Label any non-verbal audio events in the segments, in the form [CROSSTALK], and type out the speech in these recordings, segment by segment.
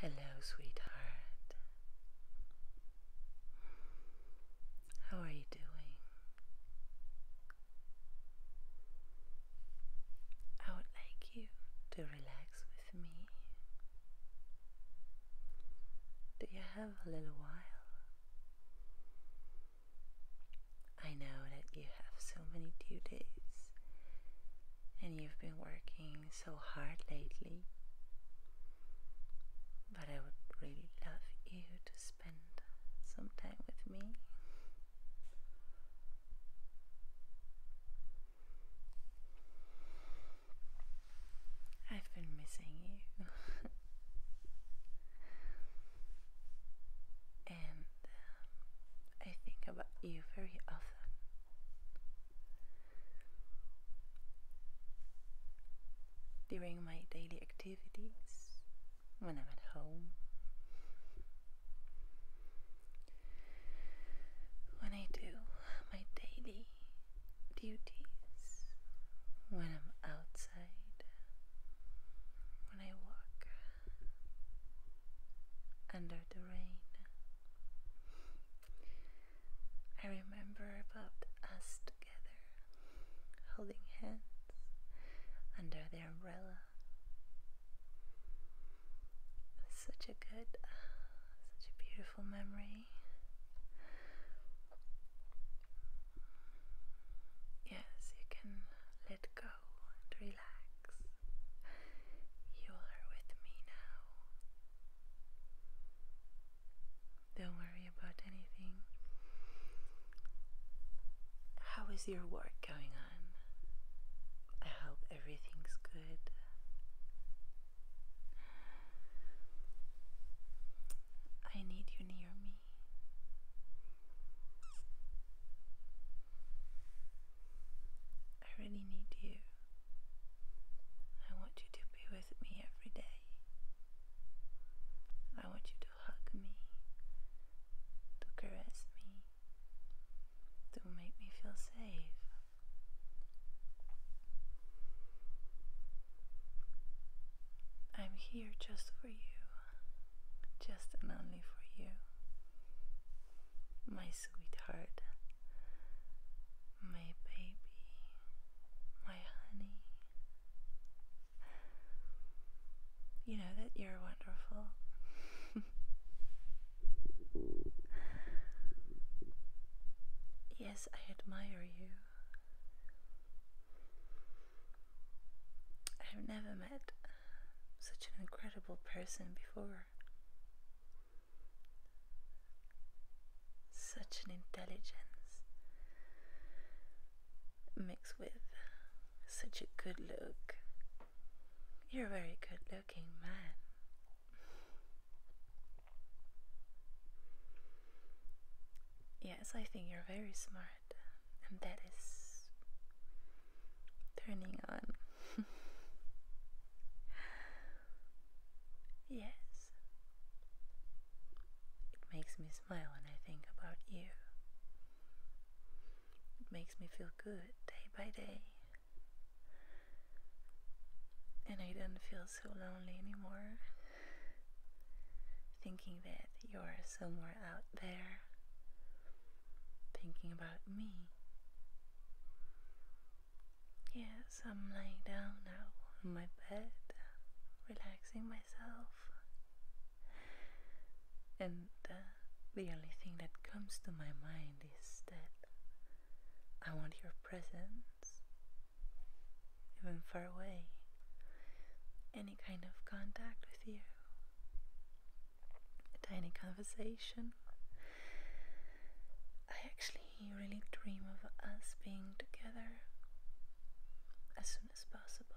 Hello, sweetheart. How are you doing? I would like you to relax with me. Do you have a little while? I know that you have so many duties and you've been working so hard lately, but I would really love you to spend some time with me. I've been missing you. [LAUGHS] and I think about you very often. During my daily activities, when I'm at home, when I do my daily duties, when I'm outside, when I walk under the rain. I remember about us together, holding hands under the umbrella. Such a good, such a beautiful memory. Yes, you can let go and relax. You are with me now. Don't worry about anything. How is your work going on? I hope everything's good. I need you near me. I really need you. I want you to be with me every day. I want you to hug me, to caress me, to make me feel safe. I'm here just for you just and only for you, my sweetheart, my baby, my honey. You know that you're wonderful. [LAUGHS] yes, I admire you. I've never met such an incredible person before. Such an intelligence mixed with such a good look. You're a very good looking man. Yes, I think you're very smart and that is turning on. [LAUGHS] yes, it makes me smile when I think about you. It makes me feel good day by day. And I don't feel so lonely anymore. Thinking that you're somewhere out there thinking about me. Yes, I'm laying down now on my bed, relaxing myself. And uh, the only thing that comes to my mind is that I want your presence, even far away, any kind of contact with you a tiny conversation. I actually really dream of us being together as soon as possible.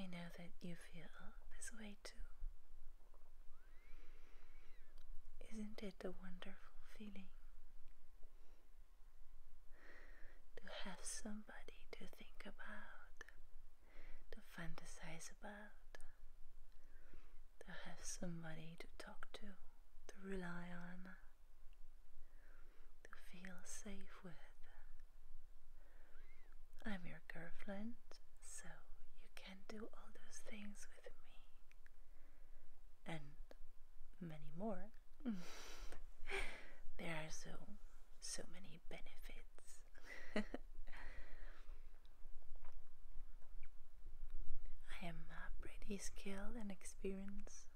I know that you feel this way too. Isn't it a wonderful feeling to have somebody to think about, to fantasize about, to have somebody to talk to, to rely on, to feel safe with. I'm your girlfriend, so you can do all those things with me and many more. [SIGHS] there are so so many benefits. [LAUGHS] I am uh, pretty skilled and experienced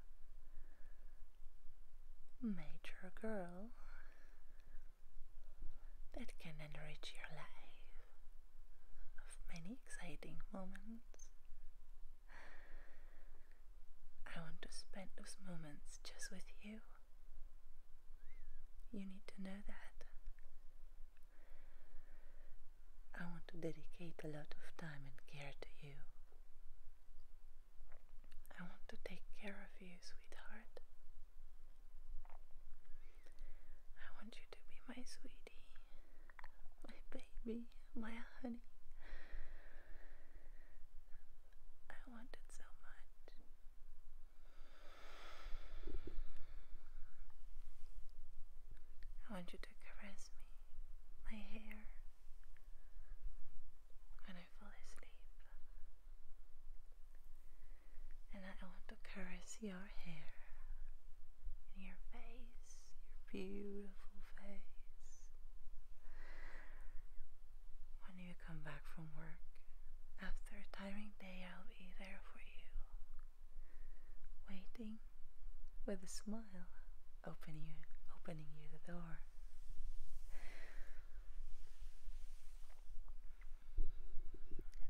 major girl that can enrich your life of many exciting moments. I want to spend those moments just with you. You need to know that. I want to dedicate a lot of time and care to you. I want to take care of you, sweetheart. I want you to be my sweetie, my baby, my honey. I want it so much. I want you to caress me, my hair, when I fall asleep. And I want to caress your hair, your face, your beautiful face. When you come back from work, after a tiring day, I'll be there for you, waiting with a smile, opening you, opening you the door.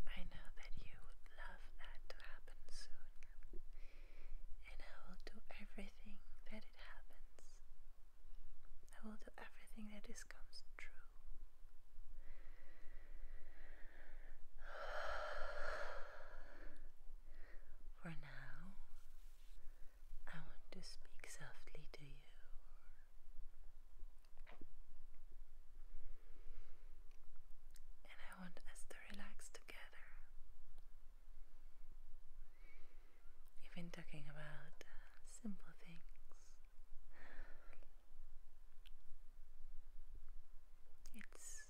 I know that you would love that to happen soon, and I will do everything that it happens. I will do everything that is comes true. [SIGHS] For now, I want to speak softly to you. And I want us to relax together. You've been talking about simple things. It's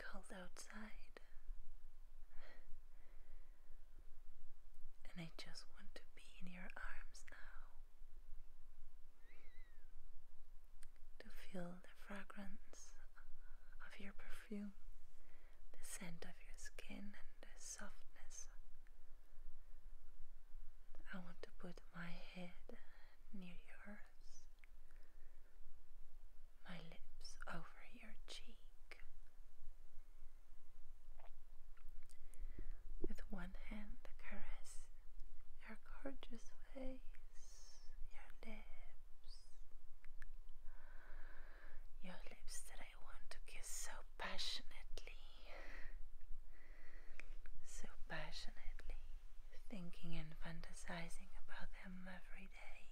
cold outside, and I just want to be in your arms now. To feel the fragrance of your perfume, the scent of your skin, and the softness. I want to put my head near yours, my lips over your cheek. With one hand, caress your gorgeous face, your lips your lips that I want to kiss so passionately, so passionately, thinking and fantasizing about them every day.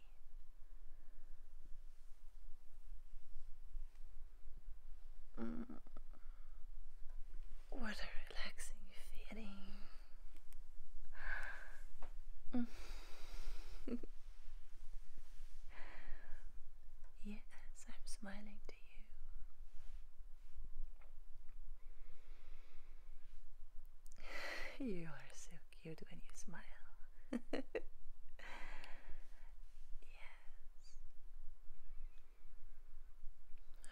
Mm. What a relaxing feeling. [LAUGHS] [LAUGHS] Yes, I'm smiling to you. You are so cute when you smile. [LAUGHS] yes.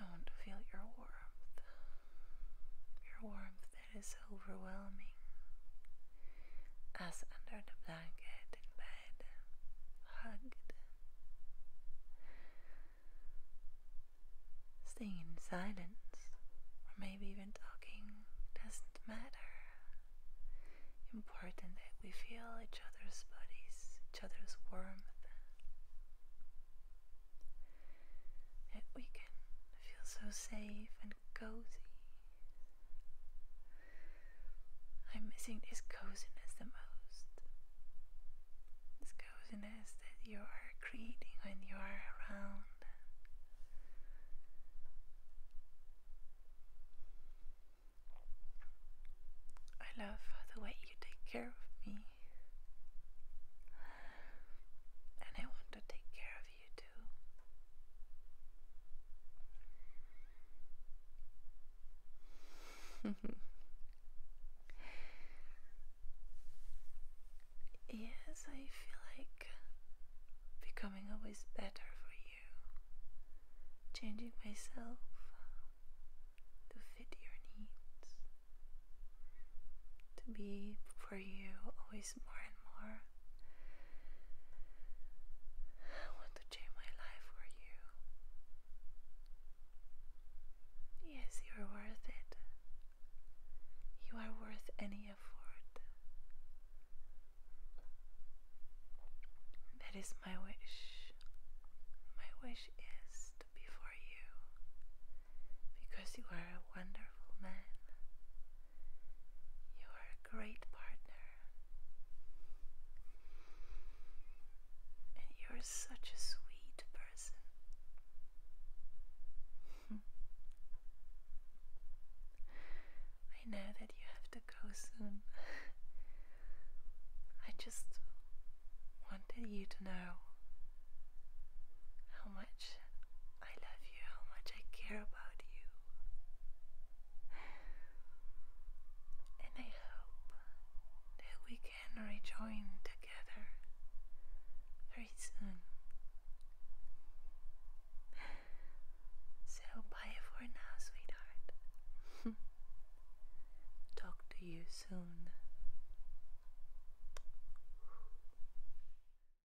I want to feel your warmth. Your warmth it is overwhelming, as under the blanket in bed, hugged. Staying in silence, or maybe even talking, doesn't matter. Important that we feel each other's bodies, each other's warmth. That we can feel so safe and cozy. I'm missing this coziness the most. This coziness that you are creating when you are around. I love the way you take care of me. And I want to take care of you too. [LAUGHS] yes, I feel like becoming always better for you, changing myself to fit your needs, to be for you always more and more. I want to change my life for you. Yes, you are worth it. You are worth any effort. That is my wish. My wish is to be for you because you are a wonderful man. You are a great partner. And you're such a sweet person. [LAUGHS] I know that you have to go soon. [LAUGHS] I just wanted you to know how much I love you, how much I care about you. And I hope that we can rejoin together very soon. So bye for now, sweetheart. [LAUGHS] Talk to you soon.